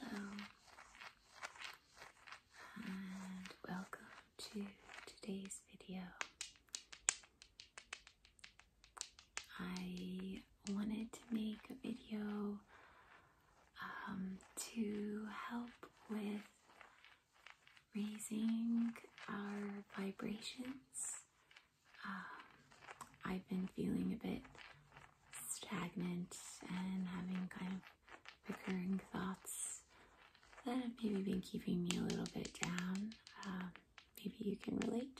Hello and welcome to today's video. I wanted to make a video um, to help with raising our vibrations. Um, I've been feeling a bit stagnant and having kind of recurring thoughts that have maybe been keeping me a little bit down. Um, maybe you can relate.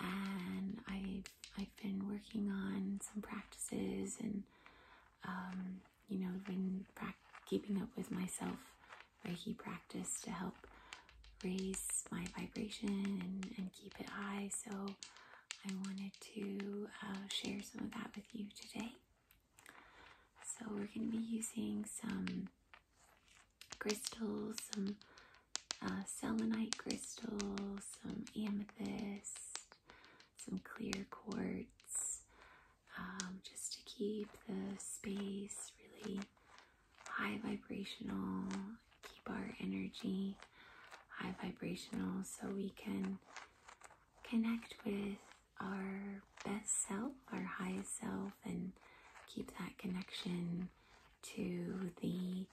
And I've I've been working on some practices and um, you know been keeping up with myself Reiki practice to help raise my vibration and, keep it high. So I wanted to uh, share some of that with you today. So we're going to be using some crystals, some uh, selenite crystals, some amethyst, some clear quartz, um, just to keep the space really high vibrational, keep our energy high vibrational so we can connect with our best self, our highest self, and keep that connection to the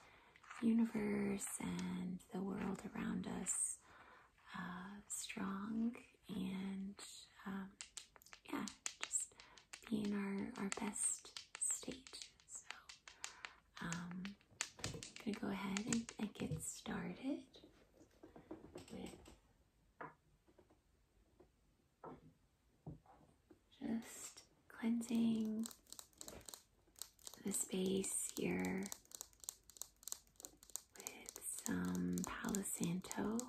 universe and the world around us uh, strong and um, yeah, just be our, our best state. So I'm um, going to go ahead and, and get started with just cleansing the space here with some palisanto.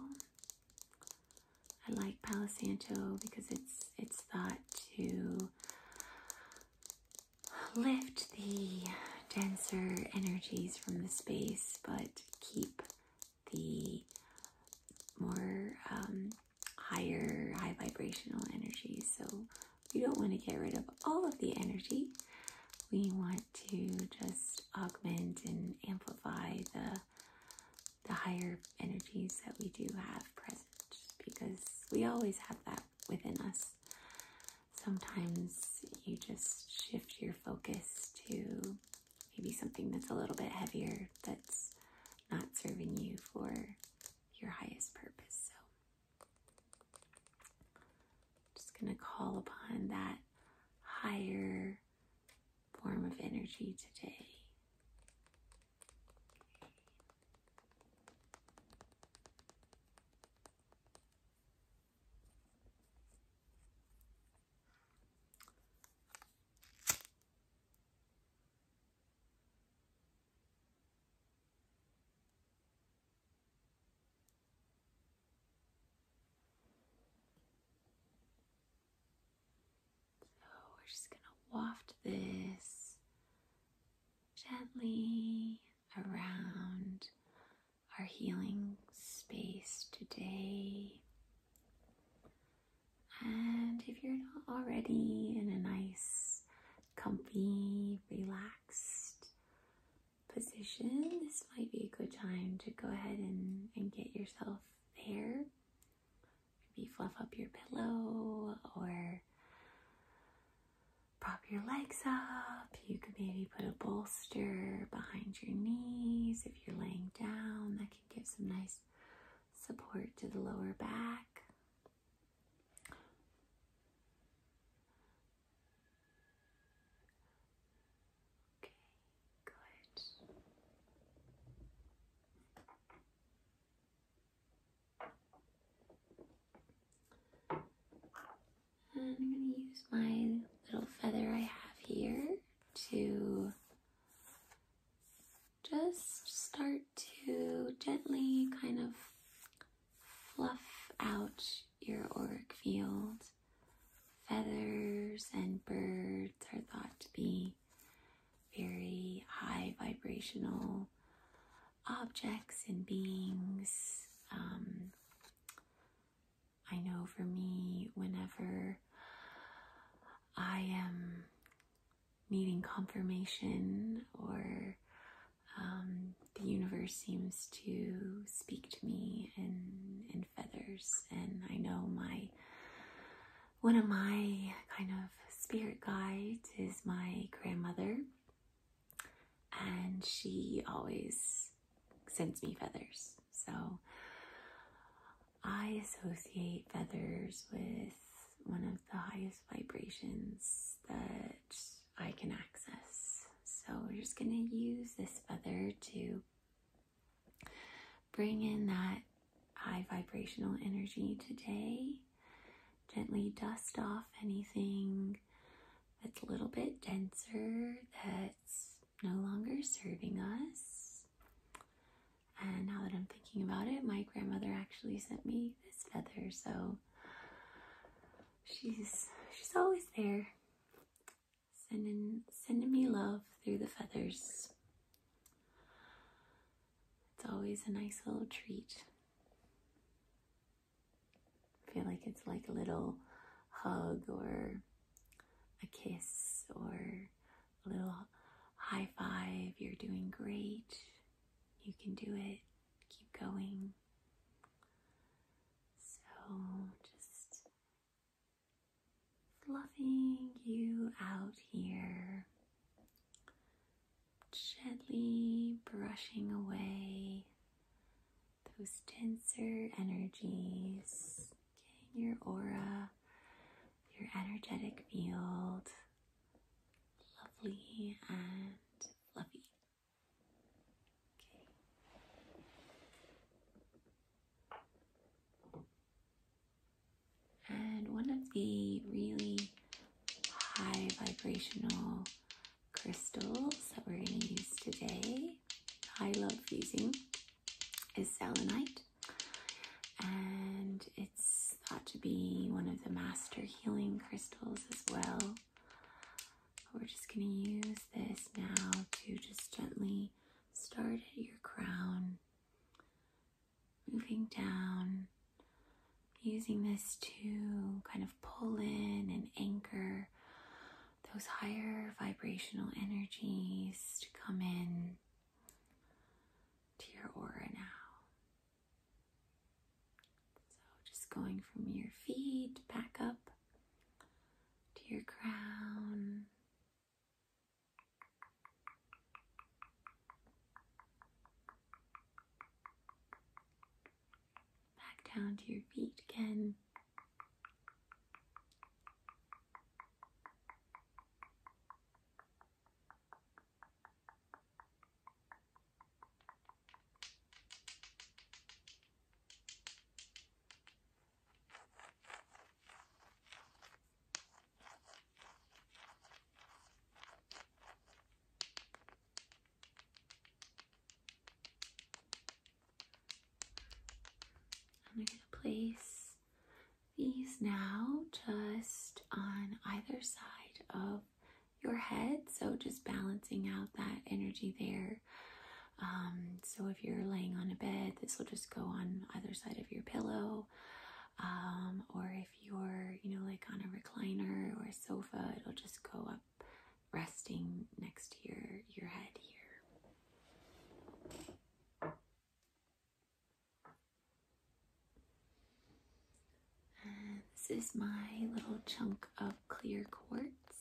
I like palisanto because it's it's thought to lift the denser energies from the space, but keep the more um, higher, high vibrational energies. So we don't want to get rid of all of the energy. We want to just augment and amplify the the higher energies that we do have present because we always have that within us. Sometimes you just shift your focus to maybe something that's a little bit heavier that's not serving you for your highest purpose. So I'm just going to call upon that higher form of energy today. So we're just going to waft this gently around our healing space today. And if you're not already in a nice, comfy, relaxed position, this might be a good time to go ahead and, and get yourself there. Maybe fluff up your pillow or prop your legs up. You could maybe put a bolster behind your knees if you're laying down. That can give some nice support to the lower back. Okay, good. And I'm going to use my little feather I have here to just start to gently kind of fluff out your auric field. Feathers and birds are thought to be very high vibrational objects and beings. Um, I know for me, whenever I am needing confirmation or um, the universe seems to speak to me in, in feathers. And I know my one of my kind of spirit guides is my grandmother, and she always sends me feathers. So I associate feathers with one of the highest vibrations that I can access. So we're just going to use this feather to bring in that high vibrational energy today. Gently dust off anything that's a little bit denser, that's no longer serving us. And now that I'm thinking about it, my grandmother actually sent me this feather, so she's she's always there. Sending sending me love through the feathers. It's always a nice little treat. I feel like it's like a little hug or a kiss or a little high five, you're doing great. You can do it. Keep going. So just fluffing you out here, gently brushing away those denser energies, getting your aura, your energetic field lovely and fluffy. Okay. And one of the really high vibrational crystals that we're going to use today, I love using, is selenite and it's thought to be one of the master healing crystals as well. We're just going to use this now to just gently start at your crown, moving down, using this to kind of pull in and anchor those higher vibrational energies to come in to your aura now. So just going from your feet back up to your crown. Back down to your feet again. I'm going to place these now just on either side of your head. So just balancing out that energy there. Um, so if you're laying on a bed, this will just go on either side of your pillow. Um, or if you're, you know, like on a recliner or a sofa, it'll just go up resting next to your, your head here this is my little chunk of clear quartz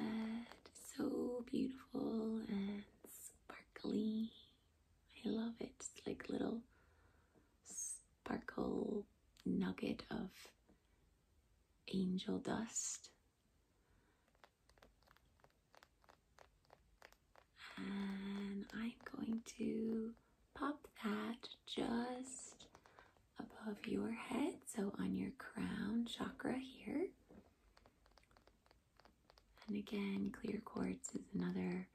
that is so beautiful and sparkly. I love it. It's like little sparkle nugget of angel dust. And I'm going to pop that just above your head, so on your crown chakra here. And again, clear quartz is another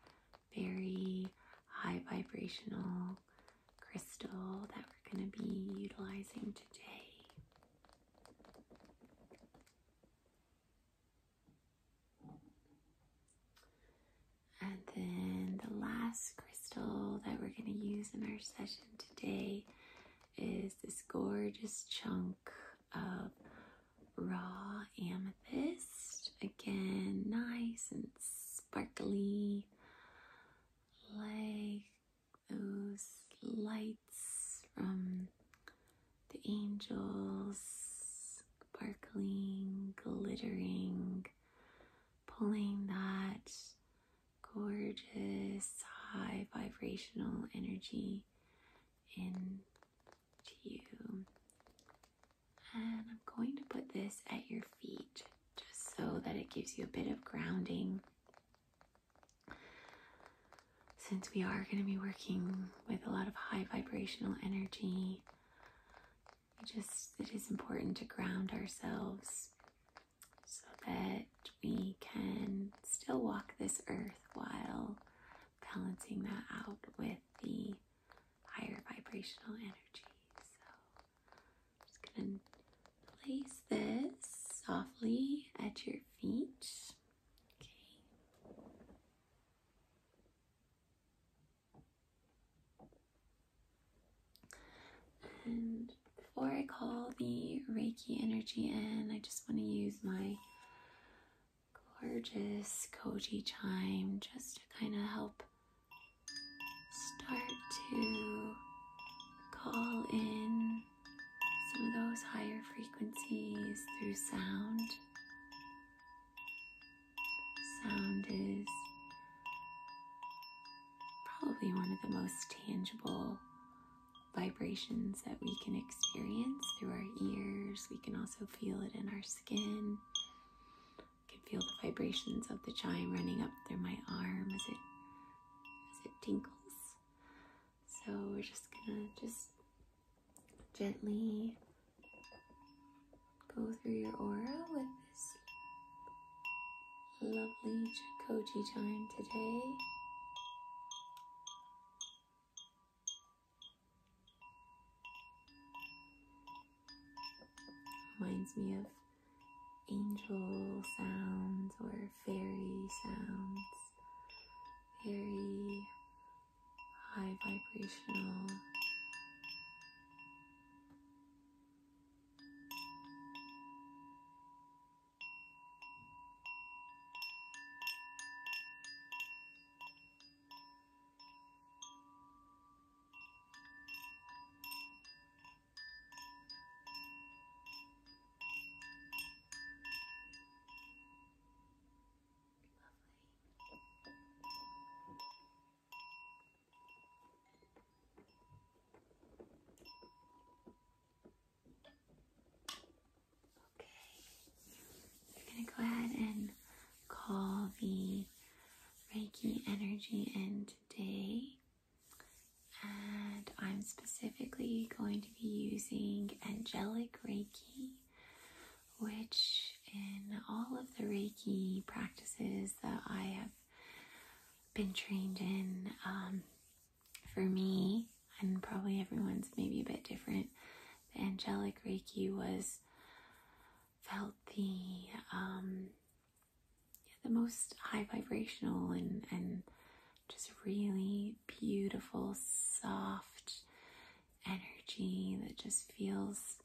very high vibrational crystal that we're going to be utilizing today. And then the last crystal that we're going to use in our session today is this gorgeous chunk of raw amethyst. Again, nice and sparkly, like those lights from the angels sparkling, glittering, pulling that gorgeous high vibrational energy into you. And I'm going to put this at your feet just so that it gives you a bit of grounding since we are going to be working with a lot of high vibrational energy, just it is important to ground ourselves so that we can still walk this earth while balancing that out with the higher vibrational energy. So I'm just going to place this softly at your feet. Okay. And before I call the Reiki energy in, I just want to use my gorgeous Koji chime just to kind of help start to call in some of those higher frequencies through sound. Sound is probably one of the most tangible vibrations that we can experience through our ears. We can also feel it in our skin. I can feel the vibrations of the chime running up through my arm as it as it tinkles. So we're just gonna just gently go through your aura with this lovely Koji chime today. Reminds me of angel sounds or fairy sounds, very high vibrational. Lovely. Okay. We're going to go ahead and call the Reiki energy in today. And I'm specifically going to be using angelic Reiki which in all of the Reiki practices that I have been trained in, um, for me, and probably everyone's maybe a bit different, the angelic Reiki was felt the um, the most high vibrational and just really beautiful, soft, energy that just feels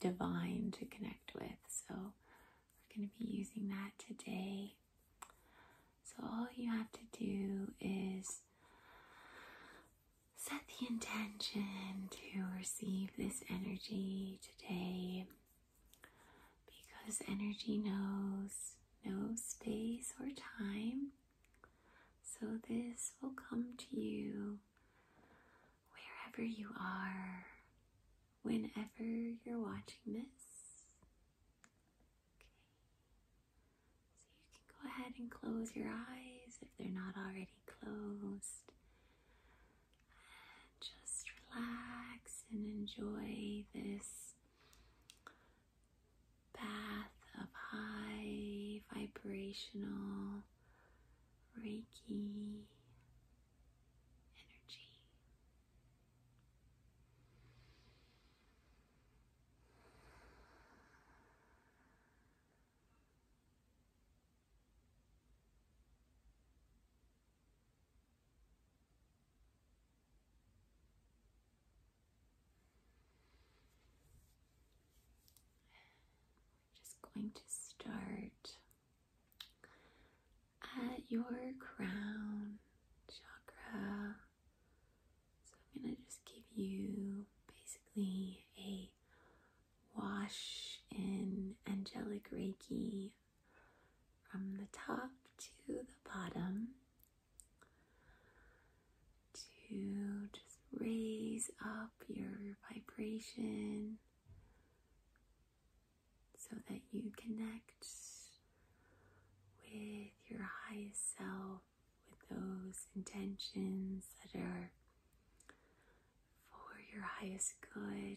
divine to connect with. So, we're going to be using that today. So, all you have to do is set the intention to receive this energy today because energy knows no space or time. So this will come to you wherever you are, whenever you're watching this. So you can go ahead and close your eyes if they're not already closed. just relax and enjoy this bath of high vibrational Reiki energy. I'm just going to start at your crown chakra. So I'm going to just give you basically a wash in angelic reiki from the top to the bottom to just raise up your vibration so that you connect with your highest self, with those intentions that are for your highest good.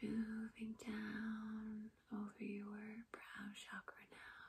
Moving down over your brow chakra now.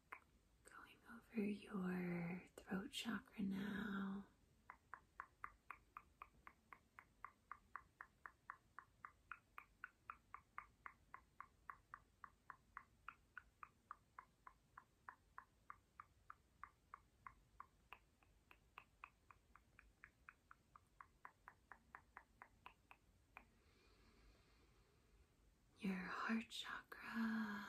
Going over your throat chakra now. Your heart chakra,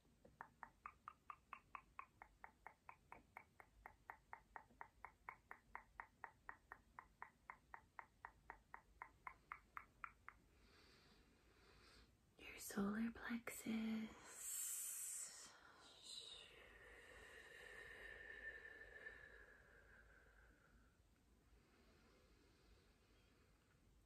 Your solar plexus.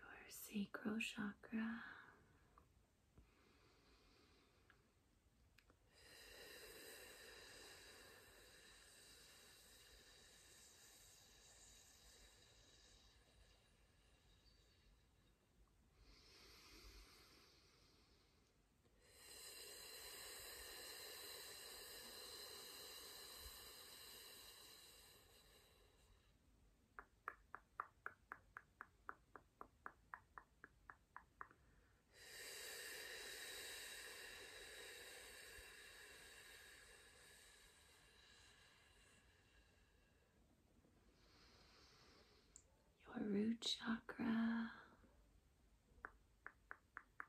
your sacral chakra. Your root chakra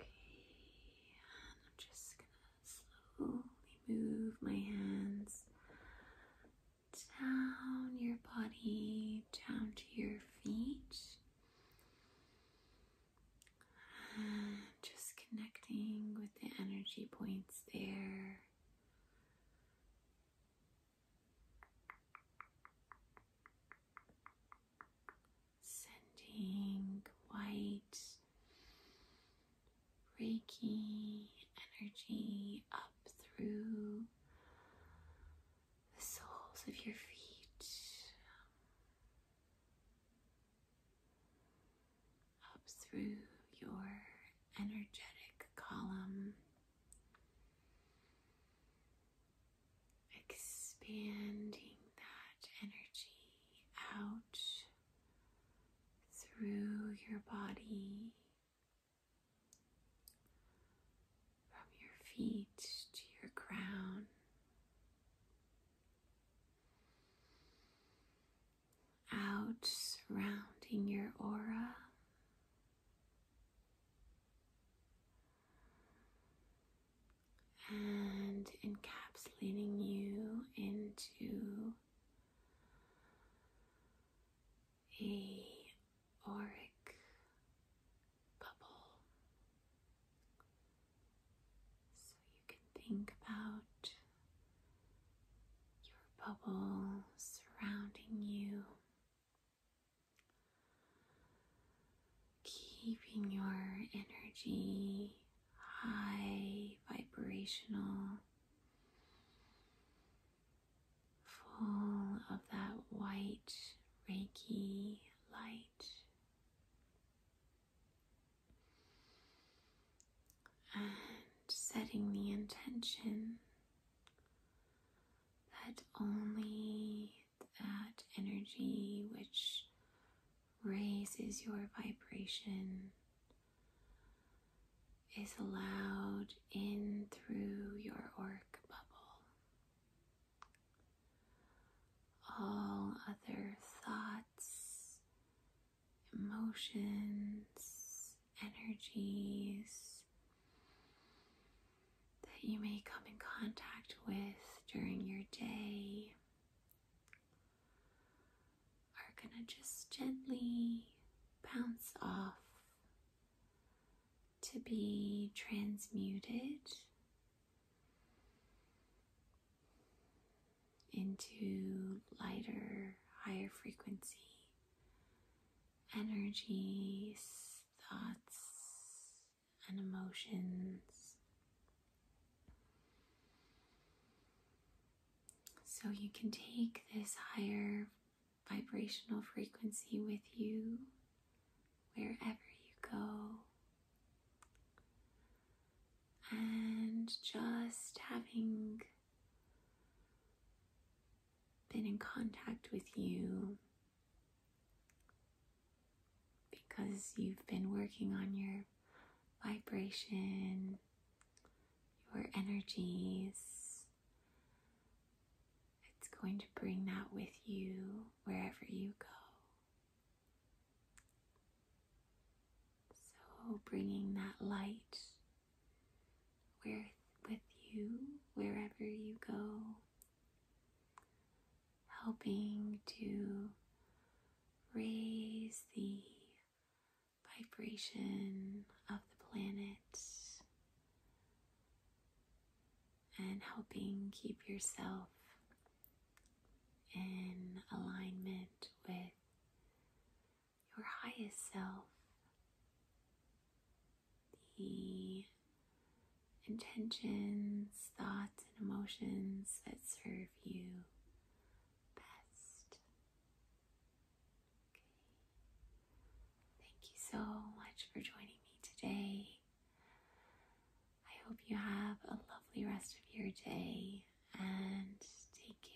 Okay, I'm just gonna slowly move my hands down your body, down to your feet, just connecting with the energy points there. Sending white Reiki energy up through the soles of your feet, up through your energetic column expanding that energy out through your body, from your feet to your crown. Out surrounding your aura and encapsulating you into a auric bubble so you can think about your bubble surrounding you Keeping your energy high, vibrational, full of that white Reiki light. And setting the intention that only that energy which raises your vibration is allowed in through your auric bubble. All other thoughts, emotions, energies that you may come in contact with during your day are going to just gently bounce off to be transmuted into lighter, higher frequency energies thoughts and emotions. So you can take this higher vibrational frequency with you wherever you go. And just having been in contact with you because you've been working on your vibration, your energies. It's going to bring that with you wherever you go. So, bringing that light where with you wherever you go, helping to raise the vibration of the planet and helping keep yourself in alignment with your highest self the intentions, thoughts, and emotions that serve you best. Thank you so much for joining me today. I hope you have a lovely rest of your day and take care.